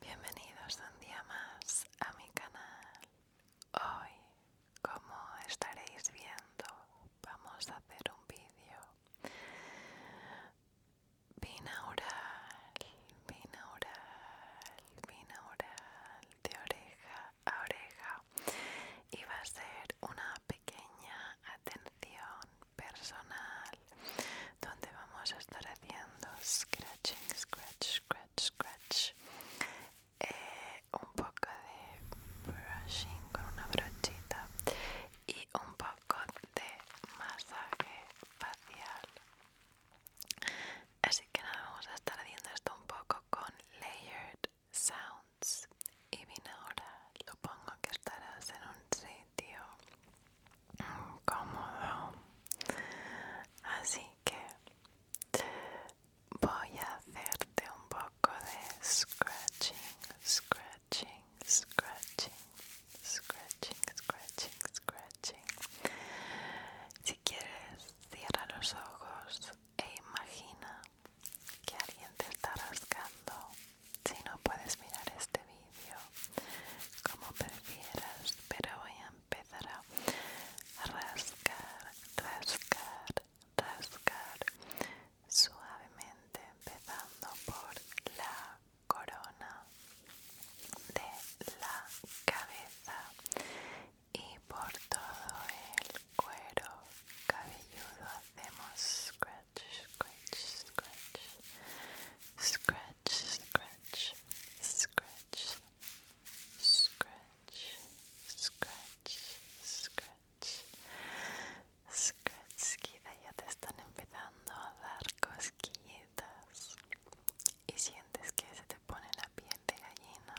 Bienvenidos un día más a mi canal. Hoy, como estaréis viendo, vamos a hacer un vídeo binaural, binaural, binaural, de oreja a oreja. Y va a ser una pequeña atención personal donde vamos a estar haciendo scratching, scratch, scratch, scratch. Eh, un poco de brushing con una brochita y un poco de masaje facial. Así que nada, vamos a estar haciendo esto un poco con layered sounds. Y bien ahora, lo pongo que estarás en un sit cómodo así que voy a hacerte un poco de scratching scratching scratching scratching scratching scratching si quieres cierra los ojos e imagina que alguien te está rascando si no puedes mirar este video como prefieras pero voy a empezar a rascar rascar rascar suavemente empezando por la corona de la cabeza y por todo el cuero cabelludo hacemos scratch scratch scratch scratch scratch, scratch, scratch, scratch, scratch. scratch Scratchkida ya te están empezando a dar cosquillitas y sientes que se te pone la piel de gallina.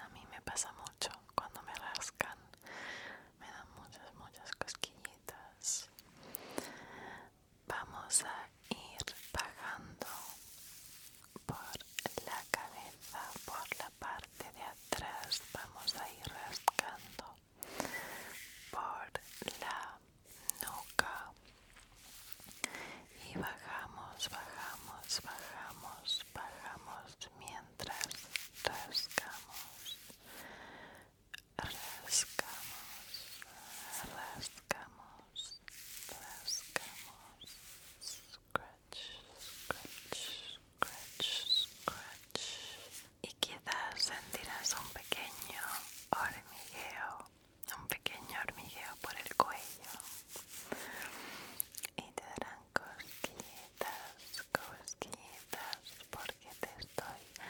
A mí me pasa mucho cuando me rascan, me dan muchas, muchas cosquillitas vamos a ir bajando por la cabeza, por la parte de atrás, vamos a ir rascando por la nuca y bajamos, bajamos, bajamos, bajamos mientras rascamos rascamos, rascamos, rascamos, scratch, scratch, scratch, scratch. Y quizás sentirás un pequeño hormigueo, un pequeño hormigueo por el cuello. Y te darán cosquillitas, cosquillitas, porque te estoy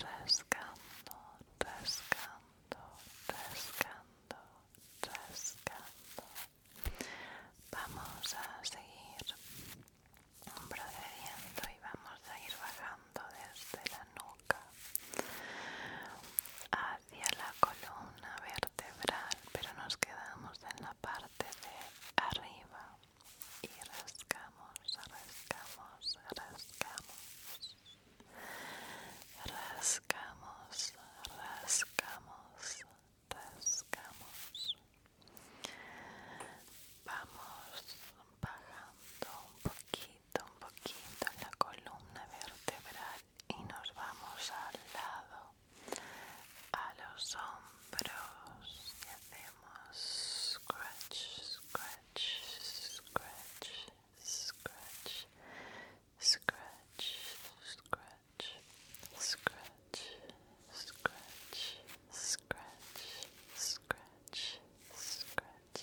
rascando, rascando, rascando, rascando. Vamos a seguir procediendo y vamos a ir bajando desde la nuca hacia la columna vertebral, pero nos quedamos en la parte de arriba y rascamos, rascamos, rascamos rascamos, rascamos, rascamos. Vamos bajando un poquito, un poquito la columna vertebral y nos vamos al lado, a los hombros y hacemos scratch, scratch scratch, scratch, scratch, scratch, scratch, scratch, scratch, scratch, scratch,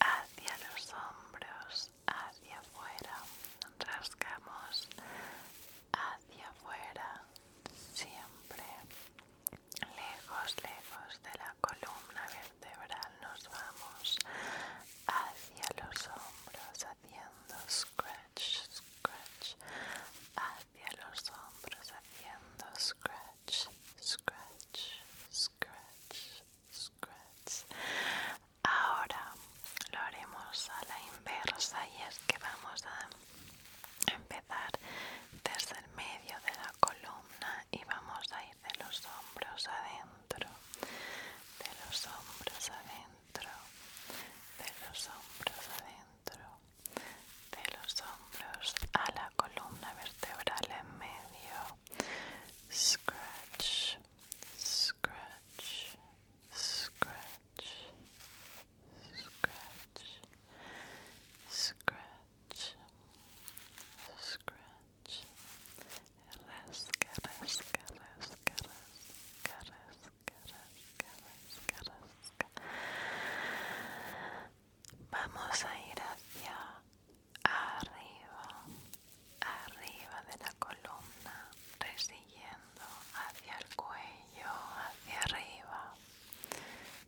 hacia los hombros, hacia afuera, rascamos hacia afuera, siempre lejos, lejos de la columna vertebral nos vamos hacia los hombros haciendo scratch, scratch, hacia los hombros haciendo scratch, scratch, scratch, scratch. Ahora lo haremos a la inversa y es que vamos a empezar desde el medio de la columna y vamos a de los hombros adentro, de los hombros adentro, de los hombros adentro, de los hombros a la columna vertebral en medio. Scratch, scratch, scratch, scratch, scratch scratch, Alaska, Alaska, Alaska, Alaska, Alaska, Alaska, Alaska, Alaska. Vamos a ir hacia arriba, arriba de la columna, resiguiendo hacia el cuello, hacia arriba.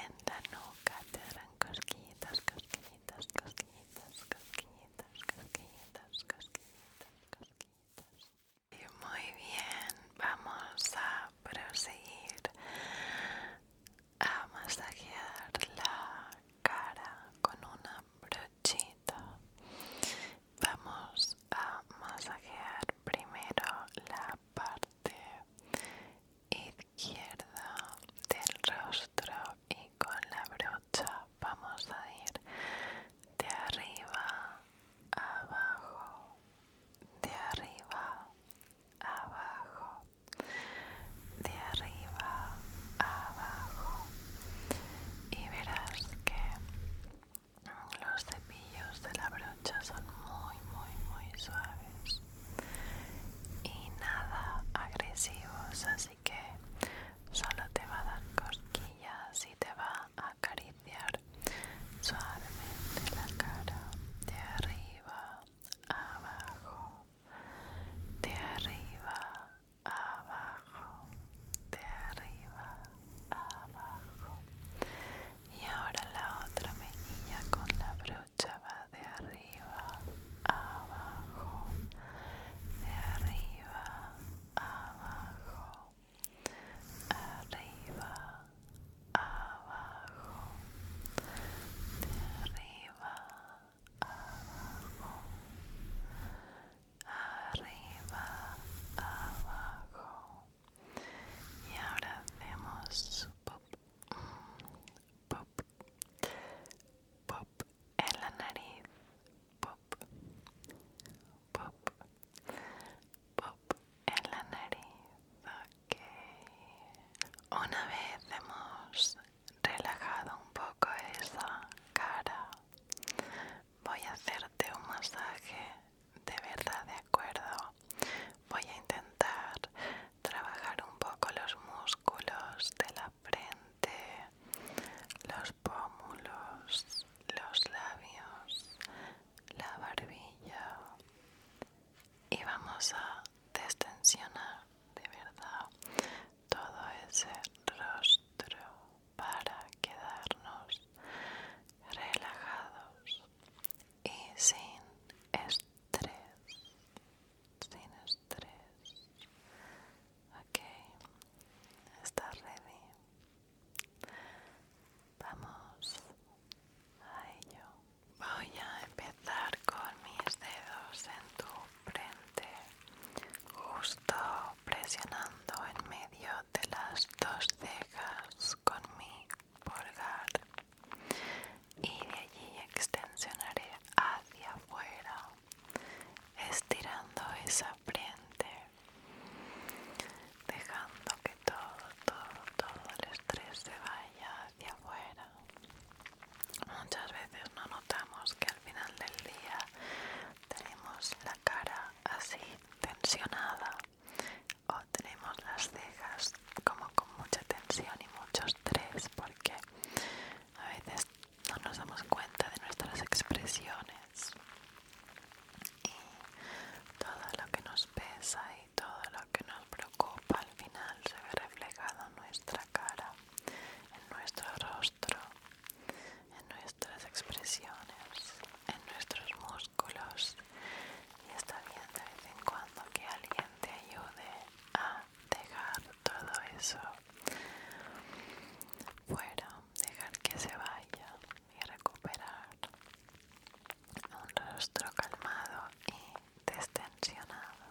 En la nuca te harán cosquillitas, cosquillitas, cosquillitas, cosquillitas, cosquillitas, cosquillitas, cosquillitas. Y muy bien, vamos a proseguir a masajear la cara con una brochita Vamos a masajear primero la parte izquierda del rostro y con la brocha vamos a ir de arriba abajo, de arriba abajo, de arriba abajo y verás que los cepillos de la brocha son muy, muy, muy suaves y nada agresivos, así que solo te va a dar cosquillas y te va a acariciar suavemente la cara de arriba abajo, de arriba abajo, de arriba abajo y ahora la otra mejilla con la brocha va de arriba abajo de arriba abajo arriba abajo arriba abajo arriba abajo y ahora hacemos pop, pop, pop en la nariz, pop, pop, pop en la nariz. Ok. Una vez hemos relajado un poco esa cara Voy a hacerte un masaje de verdad, de acuerdo. Voy a intentar trabajar un poco los músculos de la frente, los pómulos, los labios, la barbilla y vamos a destensionar de verdad todo ese rostro para quedarnos relajados y sin estrés, sin estrés. Ok, ¿estás ready? Vamos a ello. Voy a empezar con mis dedos en tu frente, justo presionando en medio de las dos cejas con mi pulgar y de allí extensionaré hacia afuera estirando esa frente dejando que todo todo todo el estrés se vaya hacia afuera muchas veces no notamos que al final del día tenemos la cara así tensionada o tenemos las cejas como con mucha tensión y mucho estrés porque a veces no nos damos cuenta de nuestras expresiones y todo lo que nos pesa y todo lo que nos preocupa al final se ve reflejado en nuestra cara, en nuestro rostro, en nuestras expresiones, en nuestros músculos y está bien de vez en cuando que alguien te ayude a dejar todo eso fuera, dejar que se vaya y recuperar un rostro calmado y destensionado.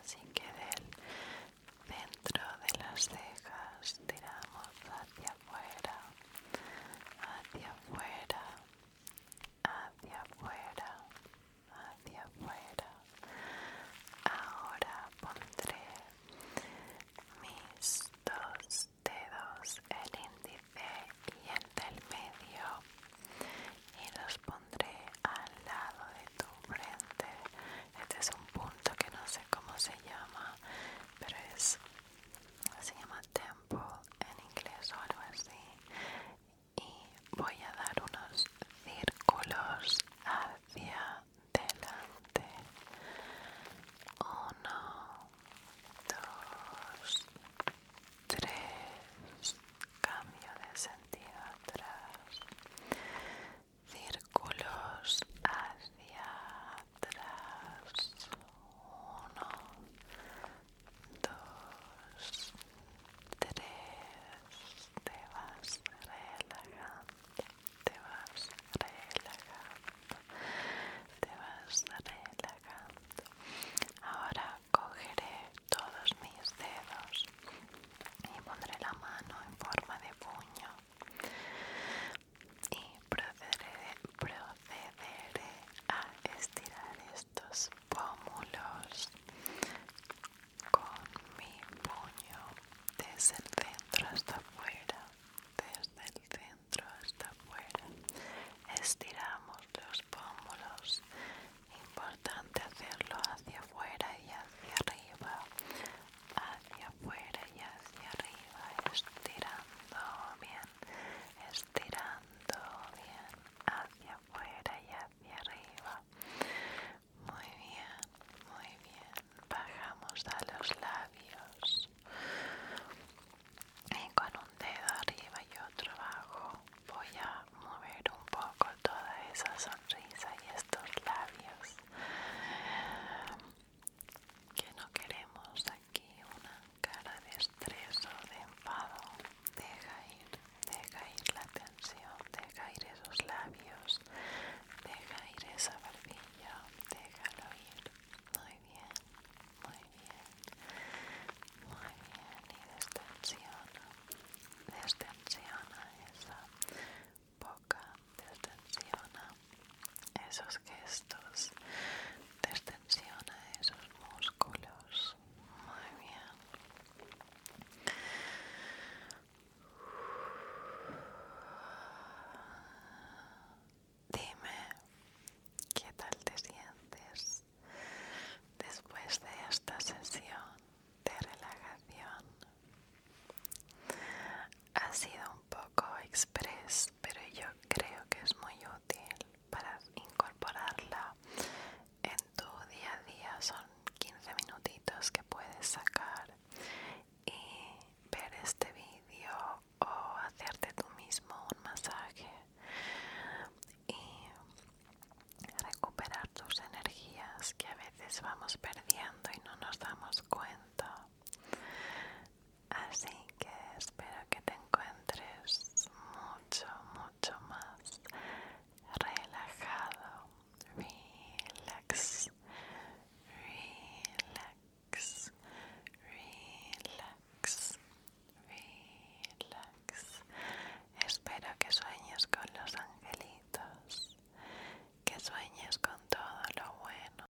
Así que del dentro de las cejas tiramos hacia afuera, hacia afuera, hacia afuera, hacia afuera. Ahora pondré mis dos dedos, el índice y el del medio, y los pondré al lado de tu frente. Este es un punto que no sé cómo se llama, pero es se llama en inglés o algo así y voy a dar unos círculos hacia delante uno dos tres cambio de sentido atrás círculos hacia tras, Uno, dos, tres. Te vas relajando. Te vas relajando. Te vas relajando. Ahora cogeré todos mis dedos y pondré la mano en forma de puño y procederé, a estirar estos pómulos con mi puño desde el centro hasta afuera desde el centro hasta afuera estiramos los pómulos importante hacerlo hacia afuera y hacia arriba hacia afuera y hacia arriba estiramos estirando bien, estirando bien hacia afuera y hacia arriba. Muy bien, muy bien. Bajamos a los labios y con un dedo arriba y otro abajo voy a mover un poco toda esa sonrisa y estos labios que no queremos aquí una cara de estrés o de enfado. Deja ir, deja ir la tensión, deja ir esos labios, deja ir esa barbilla, déjalo ir. Muy bien, muy bien, muy bien. Y destensiona, destensiona esa boca, destensiona esos gestos, extensiona esos músculos. Muy bien. Dime, ¿qué tal te sientes después de esta sesión de relajación? Ha sido un poco express, pero yo creo que es muy útil para incorporarla en tu día a día son 15 minutitos que puedes sacar y ver este vídeo o hacerte tú mismo un masaje y recuperar tus energías que a veces vamos perdiendo y no nos damos cuenta Así que espero que te encuentres mucho, mucho más relajado. Relax, relax, relax, relax. Espero que sueñes con los angelitos, que sueñes con todo lo bueno.